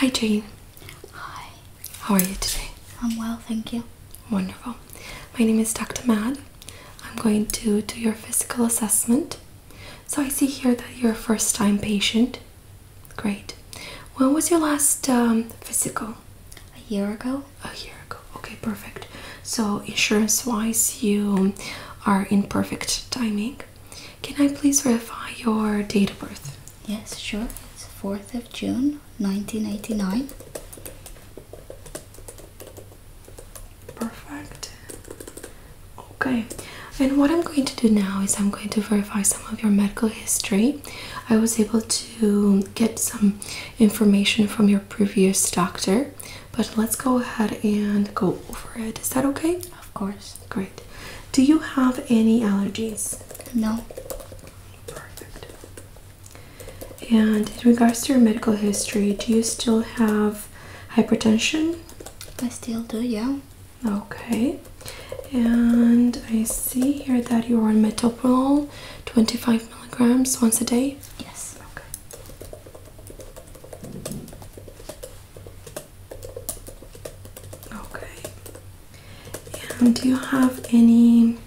Hi Jane. Hi. How are you today? I'm well, thank you. Wonderful. My name is Dr. Mad. I'm going to do your physical assessment. So I see here that you're a first time patient. Great. When was your last um, physical? A year ago? A year ago. Okay, perfect. So, insurance wise, you are in perfect timing. Can I please verify your date of birth? Yes, sure. It's 4th of June 1989. Perfect. Okay, and what I'm going to do now is I'm going to verify some of your medical history. I was able to get some information from your previous doctor, but let's go ahead and go over it. Is that okay? Of course. Great. Do you have any allergies? No. Perfect. And in regards to your medical history, do you still have hypertension? I still do, yeah. Okay. And I see here that you're on metoprolol 25 milligrams once a day? Yes. Okay. Okay. do you have any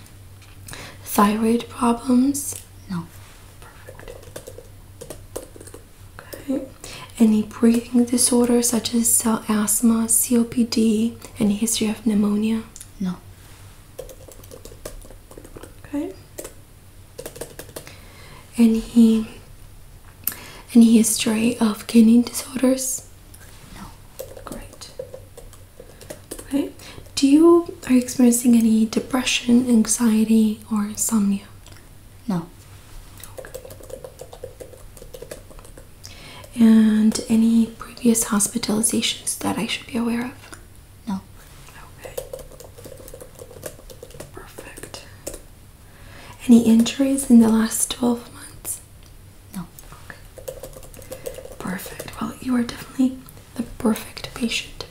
thyroid problems? No. Perfect. Okay. Any breathing disorders such as uh, asthma, COPD, any history of pneumonia? No. Okay. Any any history of kidney disorders? No. Great. Okay. Do you are you experiencing any depression, anxiety, or insomnia? No. Okay. And any previous hospitalizations that I should be aware of? No. Okay. Perfect. Any injuries in the last 12 months? No. Okay. Perfect. Well, you are definitely the perfect patient.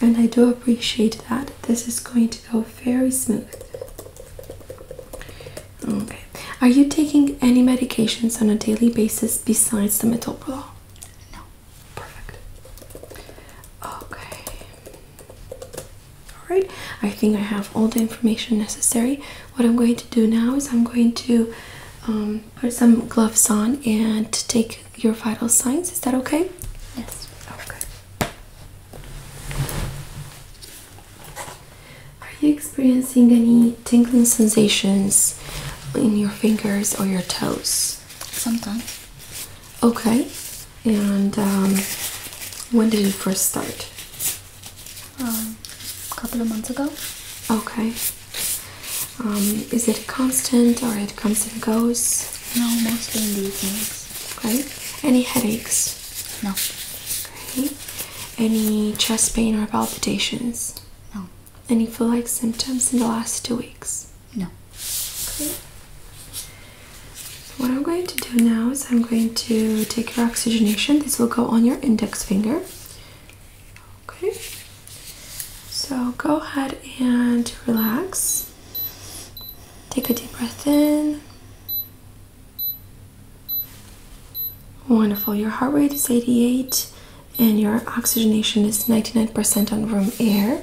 And I do appreciate that. This is going to go very smooth. Okay. Are you taking any medications on a daily basis besides the metoprolol? No. Perfect. Okay. Alright, I think I have all the information necessary. What I'm going to do now is I'm going to um, put some gloves on and take your vital signs. Is that okay? Yes. Okay. Are you experiencing any tingling sensations in your fingers or your toes? Sometimes. Okay. And um, when did it first start? a um, couple of months ago. Okay. Um, is it constant or it comes and goes? No, mostly in the evenings. Okay. Any headaches? No. Okay. Any chest pain or palpitations? No. Any feel like symptoms in the last two weeks? No. Great. what I'm going to do now is I'm going to take your oxygenation. This will go on your index finger. Okay. So go ahead and relax. Take a deep breath in. Wonderful. Your heart rate is 88 and your oxygenation is 99% on room air.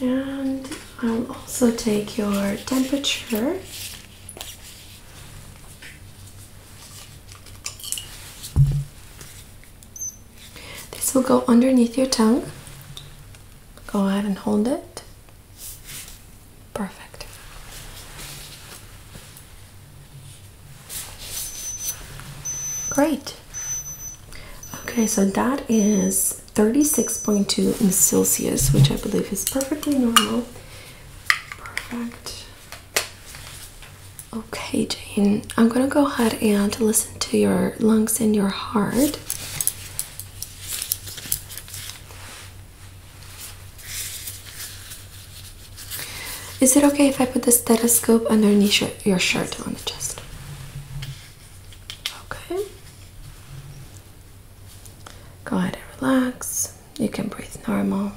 And I'll also take your temperature. This will go underneath your tongue. Go ahead and hold it. Perfect. Great. Okay, so that is 36.2 in Celsius, which I believe is perfectly normal. Perfect. Okay, Jane, I'm gonna go ahead and listen to your lungs and your heart. Is it okay if I put the stethoscope underneath your, shirt on the chest? Okay. Go ahead and relax. You can breathe normal.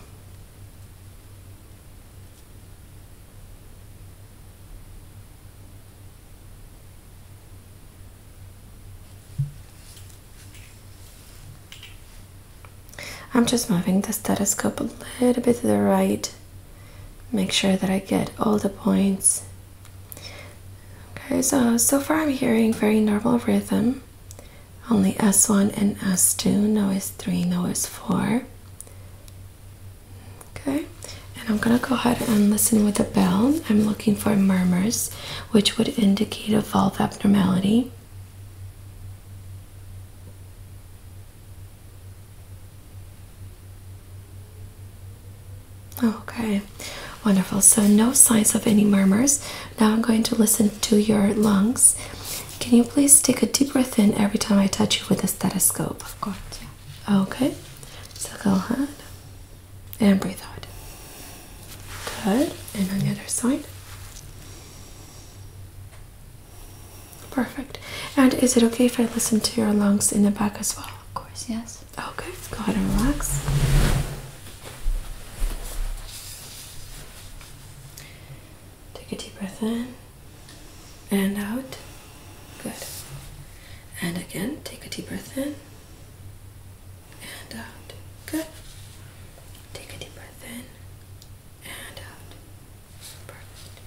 I'm just moving the stethoscope a little bit to the right. Make sure that I get all the points. Okay, so so far I'm hearing very normal rhythm. Only S1 and S2, no S3, no S4. Okay, and I'm gonna go ahead and listen with the bell. I'm looking for murmurs, which would indicate a valve abnormality. Okay, wonderful. So, no signs of any murmurs. Now, I'm going to listen to your lungs. Can you please take a deep breath in every time I touch you with the stethoscope? Of course. Okay, so go ahead and breathe out. Good. And on the other side. Perfect. And is it okay if I listen to your lungs in the back as well? Of course, yes. Okay, go ahead and relax. Take a deep breath in and out. Good. And again, take a deep breath in and out. Good. Take a deep breath in and out. Perfect.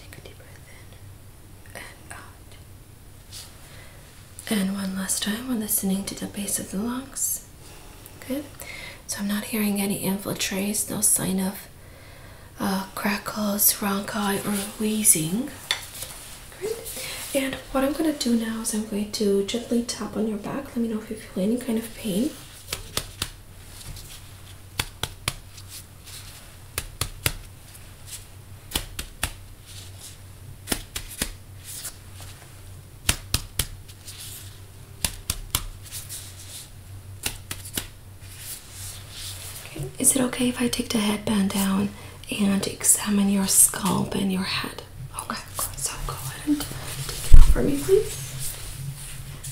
Take a deep breath in and out. And one last time, we're listening to the base of the lungs. Good. So I'm not hearing any infiltrates, no sign of uh, crackles, ronchi, or wheezing. Great. And what I'm going to do now is I'm going to gently tap on your back. Let me know if you feel any kind of pain. Okay. Is it okay if I take the headband down and examine your scalp and your head? Okay, so go ahead and take it out for me, please.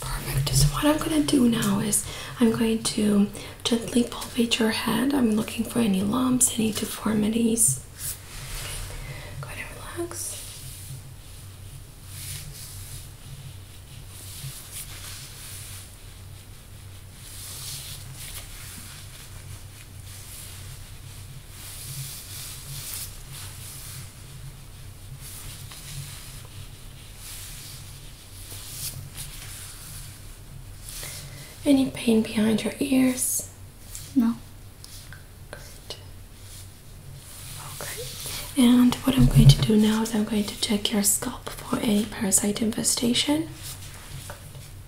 Perfect. So what I'm gonna do now is I'm going to gently palpate your head. I'm looking for any lumps, any deformities. Go ahead relax. Any pain behind your ears? No. Okay. And what I'm going to do now is I'm going to check your scalp for any parasite infestation.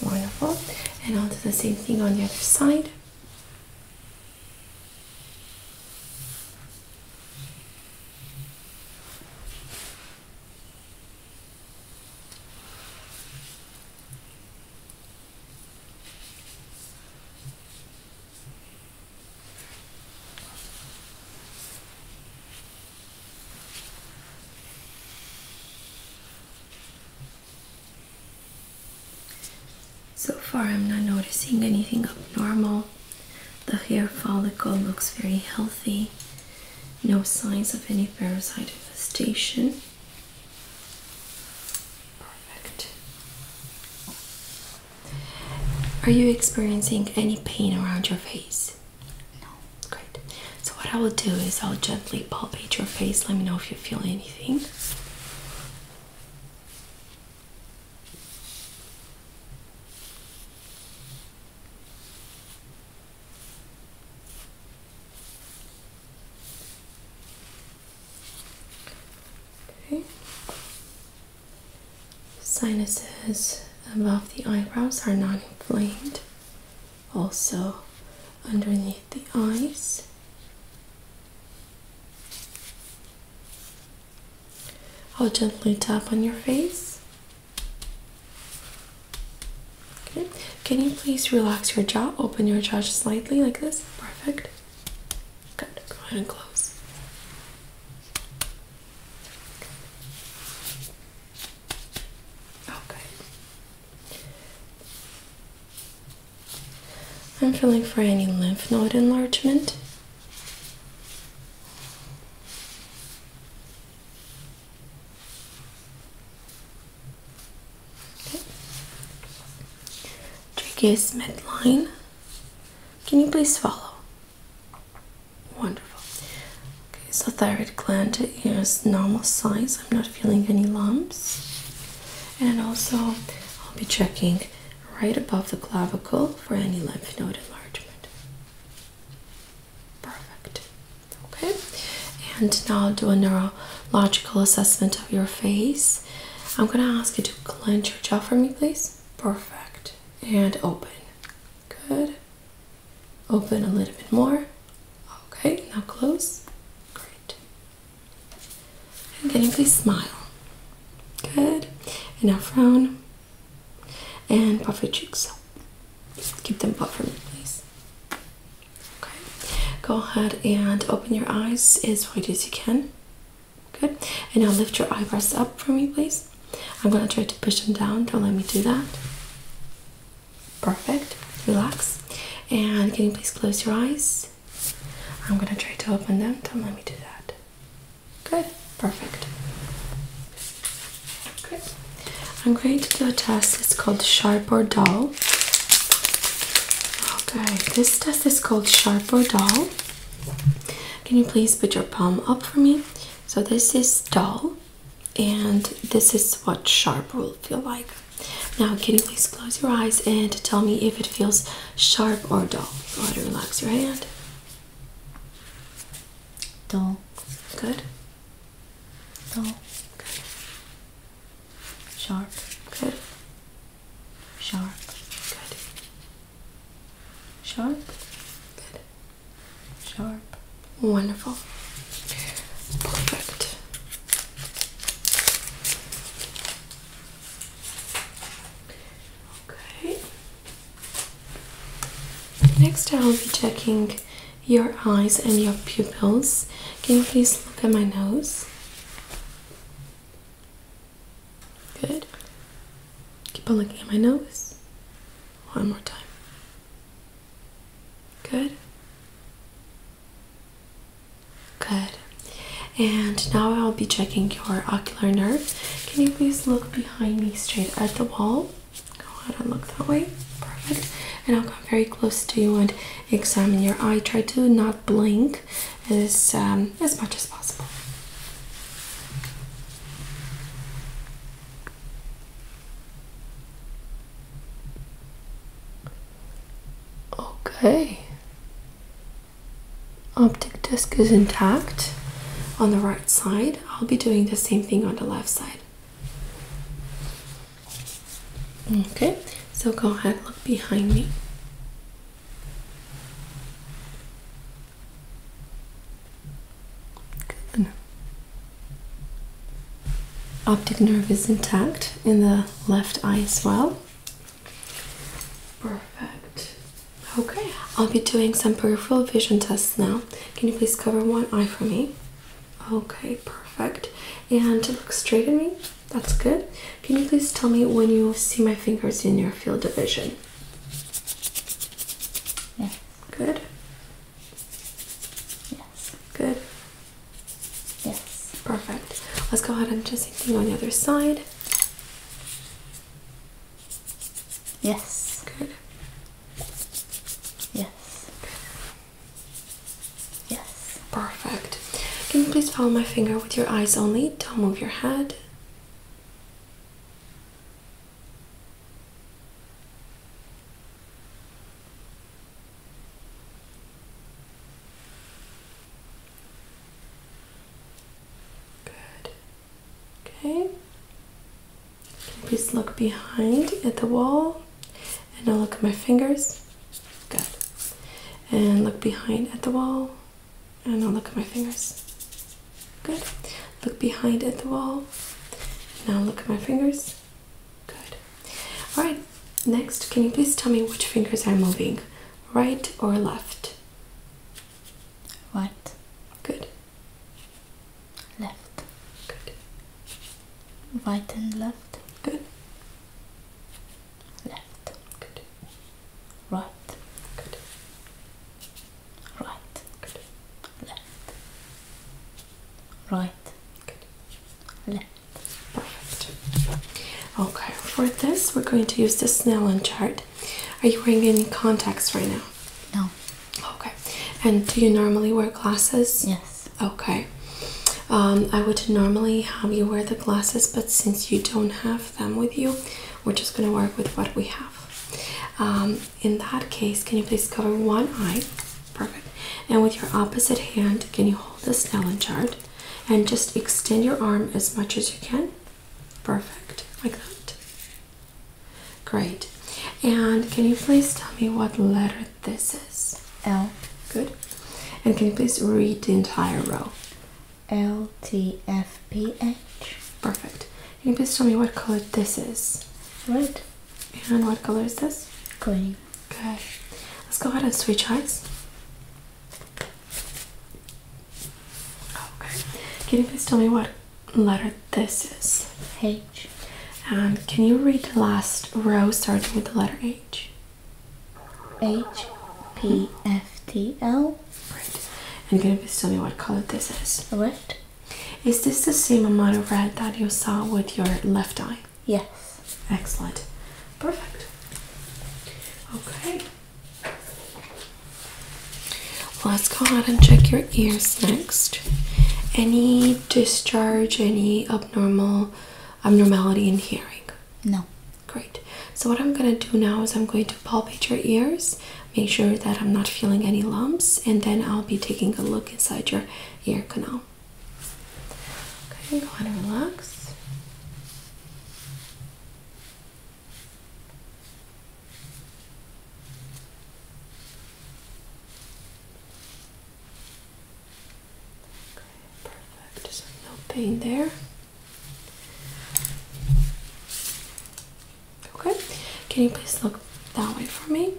Wonderful. And I'll do the same thing on the other side. So far, I'm not noticing anything abnormal. The hair follicle looks very healthy, no signs of any parasite infestation. Perfect. Are you experiencing any pain around your face? No. Great. So, what I will do is I'll gently palpate your face. Let me know if you feel anything. Okay. Sinuses above the eyebrows are not inflamed, also underneath the eyes. I'll gently tap on your face. Okay. Can you please relax your jaw? Open your jaw slightly like this. Perfect. Good. Go ahead and close. Okay. I'm feeling for any lymph node enlargement. Okay. Tracheus midline. Can you please follow? Wonderful. Okay, so thyroid gland is normal size. I'm not feeling any lumps. And also, I'll be checking right above the clavicle for any lymph node enlargement. Perfect. Okay. And now I'll do a neurological assessment of your face. I'm going to ask you to clench your jaw for me, please. Perfect. And open. Good. Open a little bit more. Okay, now close. Great. And then you please smile? Good. And now frown. And puff your cheeks. Just keep them puffed for me, please. Okay. Go ahead and open your eyes as wide as you can. Good. And now lift your eyebrows up for me, please. I'm going to try to push them down. Don't let me do that. Perfect. Relax. And can you please close your eyes? I'm going to try to open them. Don't let me do that. Good. Perfect. Good. I'm going to do a test. It's called Sharp or Dull. Okay. This test is called Sharp or Dull. Can you please put your palm up for me? So this is dull and this is what sharp will feel like. Now can you please close your eyes and tell me if it feels sharp or dull? Go ahead relax your hand. Dull. Good. Dull. Good. Sharp. Good. Sharp. Good. Sharp. Good. Sharp. Wonderful. Perfect. Okay. Next, I will be checking your eyes and your pupils. Can you please look at my nose? Good. Keep on looking at my nose. One more time. Good. Good. And now I'll be checking your ocular nerve. Can you please look behind me straight at the wall? Go ahead and look that way. Perfect. And I'll come very close to you and examine your eye. Try to not blink ink um, as much as possible. Okay. Optic disc is intact on the right side. I'll be doing the same thing on the left side. Okay, so go ahead, look behind me. Good. Optic nerve is intact in the left eye as well. Perfect. Okay, I'll be doing some peripheral vision tests now. Can you please cover one eye for me? Okay, perfect. And look straight at me. That's good. Can you please tell me when you see my fingers in your field of vision? Yeah. Good. Yes. Good. Yes. Perfect. Let's go ahead and do the same thing on the other side. Yes. Good. Yes. Good. Yes. Perfect. Can you please follow my finger with your eyes only? Don't move your head. Good. Okay. Please look behind at the wall and now look at my fingers. Good. And look behind at the wall. And oh, now look at my fingers. Good. Look behind at the wall. Now look at my fingers. Good. Alright, next, can you please tell me which fingers are moving? Right or left? Right. Good. Left. Good. Right and left. Good left, good, right, good, right, good, left, right, good, left. Perfect. Okay, for this we're going to use the Snellen chart. Are you wearing any contacts right now? No. Okay. And do you normally wear glasses? Yes. Okay. Um, I would normally have you wear the glasses, but since you don't have them with you, we're just going to work with what we have. Um, in that case, can you please cover one eye? Perfect. And with your opposite hand, can you hold the Snellen chart and just extend your arm as much as you can? Perfect. Like that. Great. And can you please tell me what letter this is? L. Good. And can you please read the entire row? LTFPH. Perfect. Can you please tell me what color this is? Red. And what color is this? Green. Good. Let's go ahead and switch eyes. Okay. Can you please tell me what letter this is? H. And can you read the last row starting with the letter H? H P F T L Right. And can you please tell me what color this is? Is this the same amount of red that you saw with your left eye? Yes. Excellent. Perfect. Okay. Let's go ahead and check your ears next. Any discharge, any abnormal abnormality in hearing? No. Great. So what I'm going to do now is I'm going to palpate your ears, make sure that I'm not feeling any lumps, and then I'll be taking a look inside your ear canal. Okay, go ahead and relax. Okay, perfect. no pain there. Okay, can you please look that way for me?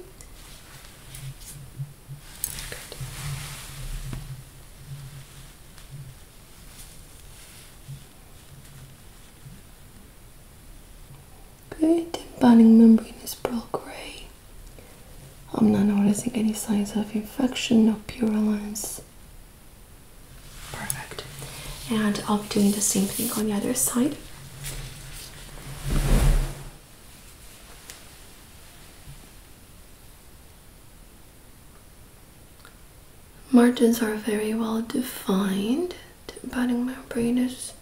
Good. Good, the binding membrane is pearl gray. I'm not noticing any signs of infection, or purulence, Perfect. And I'll be doing the same thing on the other side. Margins are very well defined. The budding membrane is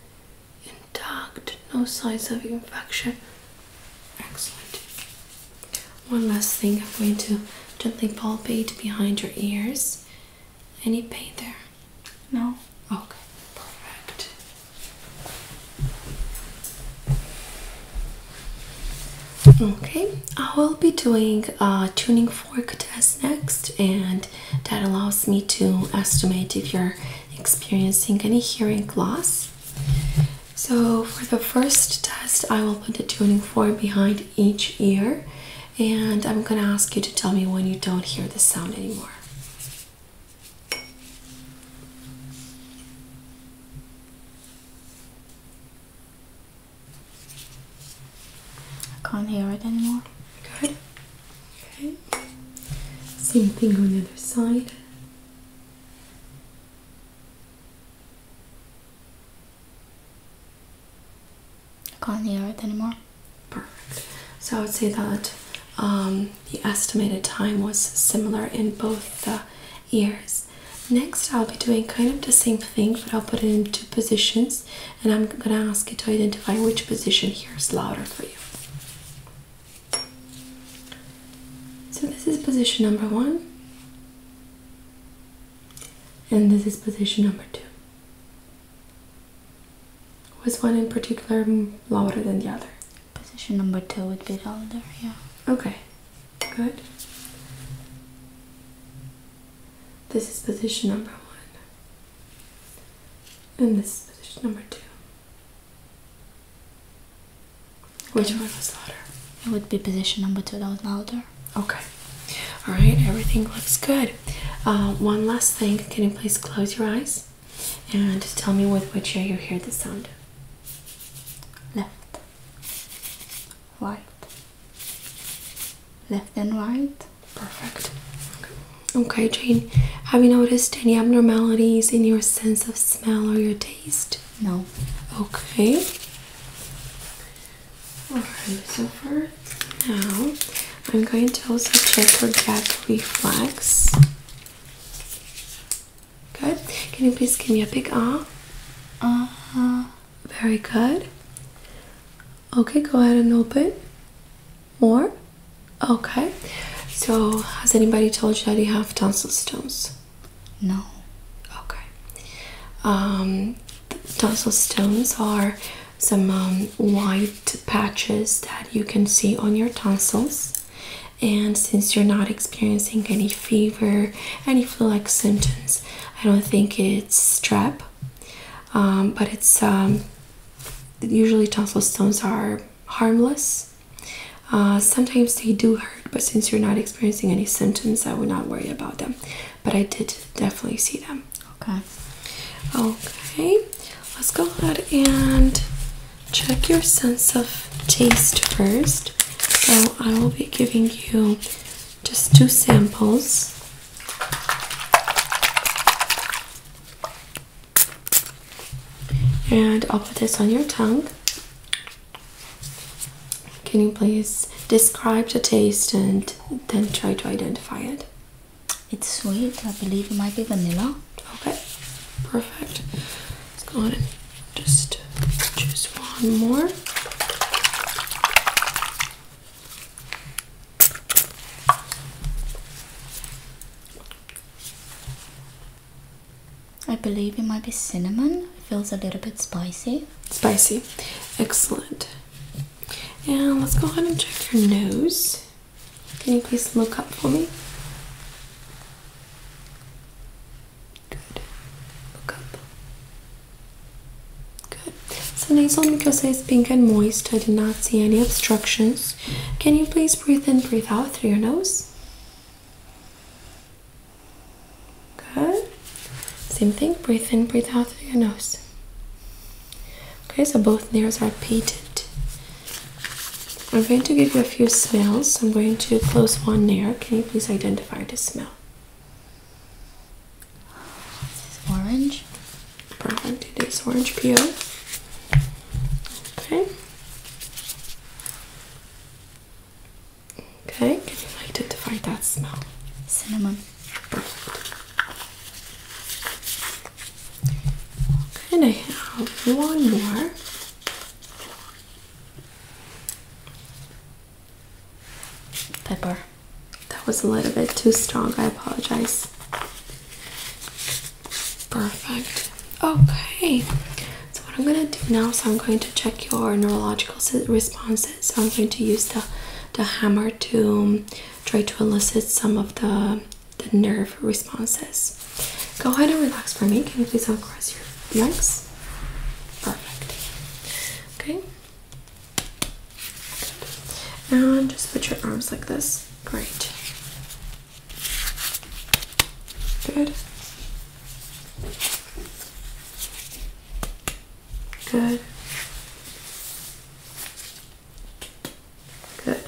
intact, no signs of infection. Excellent. One last thing, I'm going to gently palpate behind your ears. Any pain there? No. Okay, perfect. Okay, I will be doing a tuning fork test next, and that allows me to estimate if you're experiencing any hearing loss. So, for the first test, I will put a tuning fork behind each ear, and I'm gonna ask you to tell me when you don't hear the sound anymore. I can't hear it anymore. Good. Okay. Same thing on the other side can't hear it anymore. Perfect. So I would say that um, the estimated time was similar in both the ears. Next, I'll be doing kind of the same thing, but I'll put it in two positions, and I'm gonna ask you to identify which position here is louder for you. So, this is position number one and this is position number two. Was one in particular louder than the other? Position number two would be louder, yeah. Okay, good. This is position number one, and this is position number two. Which one was louder? It would be position number two, that was Mulder. Okay. All right, everything looks good. Uh, one last thing. Can you please close your eyes and tell me with which ear you hear the sound? Left, right, left and right. Perfect. Okay, Jane, have you noticed any abnormalities in your sense of smell or your taste? No. Okay. Alright, so for now, I'm going to also check for gag reflex. Good. Can you please give me a big ah? Uh Very good. Okay, go ahead and open. More? Okay. So, has anybody told you that you have tonsil stones? No. Okay. Um, stones are some um, white patches that you can see on your tonsils. And since you're not experiencing any fever, any flu like symptoms, I don't think it's strep, um, but it's um, usually tonsil stones are harmless. Uh, sometimes they do hurt, but since you're not experiencing any symptoms, I would not worry about them but I did definitely see them. Okay. Okay. Let's go ahead and check your sense of taste first. So I will be giving you just two samples. And I'll put this on your tongue. Can you please describe the taste and then try to identify it? It's sweet. I believe it might be vanilla. Okay, perfect. Let's go ahead and just one more. I believe it might be cinnamon feels a little bit spicy. Spicy. Excellent. And let's go ahead and check your nose. Can you please look up for me? Good. Look up. Good. So nasal mucosa is pink and moist. I did not see any obstructions. Can you please breathe in, breathe out through your nose? Good. Same thing, breathe in, breathe out through your nose. Okay, so both nails are painted. I'm going to give you a few smells. I'm going to close one nail. Can you please identify the smell? This is orange. Perfect, it is orange peel. Okay. Okay, can you identify that smell? Cinnamon. Perfect. And I have one more. Pepper. That was a little bit too strong. I apologize. Perfect. Okay. So what I'm gonna do now is so I'm going to check your neurological response so I'm going to use the the hammer to um, try to elicit some of the nerve responses. Go ahead and relax for me. Can you please uncross your legs? Perfect. Okay. Good. And just put your arms like this. Great. Good. Good. Good.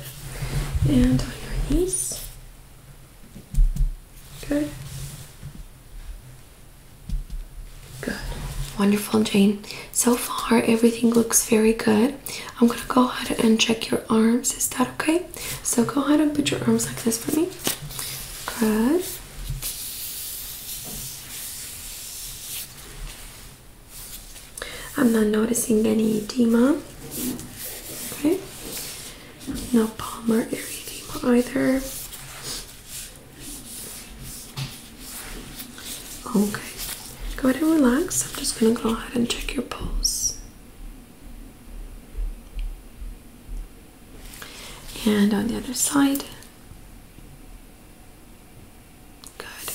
And on your knees. Good. Good. Wonderful, Jane. So far, everything looks very good. I'm going to go ahead and check your arms. Is that okay? So go ahead and put your arms like this for me. Good. I'm not noticing any edema. Okay. No palmar erythema either. Okay. Go ahead and relax. I'm just gonna go ahead and check your pulse and on the other side. Good.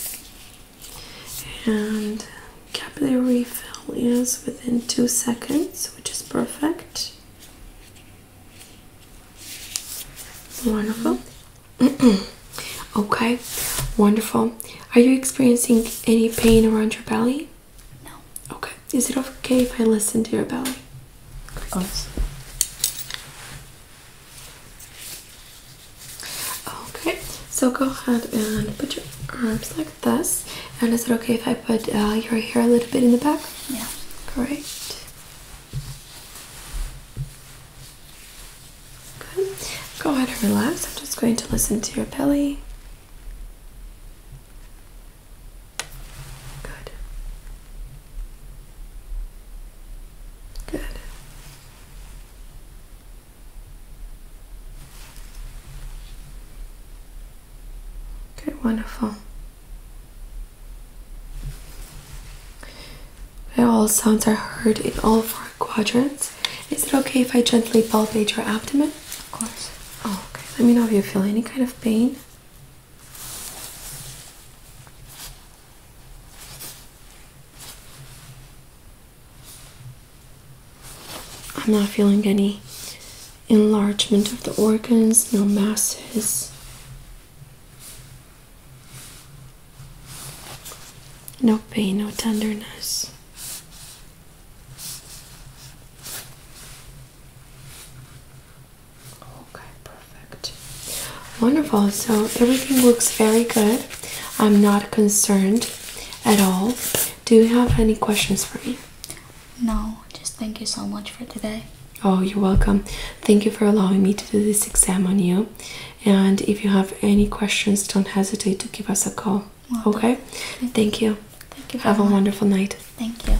And capillary refill is within two seconds, which is perfect. Wonderful. okay, wonderful. Are you experiencing any pain around your belly? No. Okay. Is it okay if I listen to your belly? Okay, so go ahead and put your arms like this. And is it okay if I put uh, your hair a little bit in the back? Yeah. Great. Good. Go ahead and relax. I'm just going to listen to your belly. Good. Good. Okay, wonderful. Okay, all sounds are heard in all four quadrants. Is it okay if I gently palpate your abdomen? Of course. Oh, okay. Let me know if you feel any kind of pain. I'm not feeling any enlargement of the organs, no masses, no pain, no tenderness. Okay, perfect. Wonderful. So everything looks very good. I'm not concerned at all. Do you have any questions for me? No, just thank you so much for today. Oh, you're welcome. Thank you for allowing me to do this exam on you. And if you have any questions, don't hesitate to give us a call. okay? Thank you. Thank you. have a wonderful night. Thank you.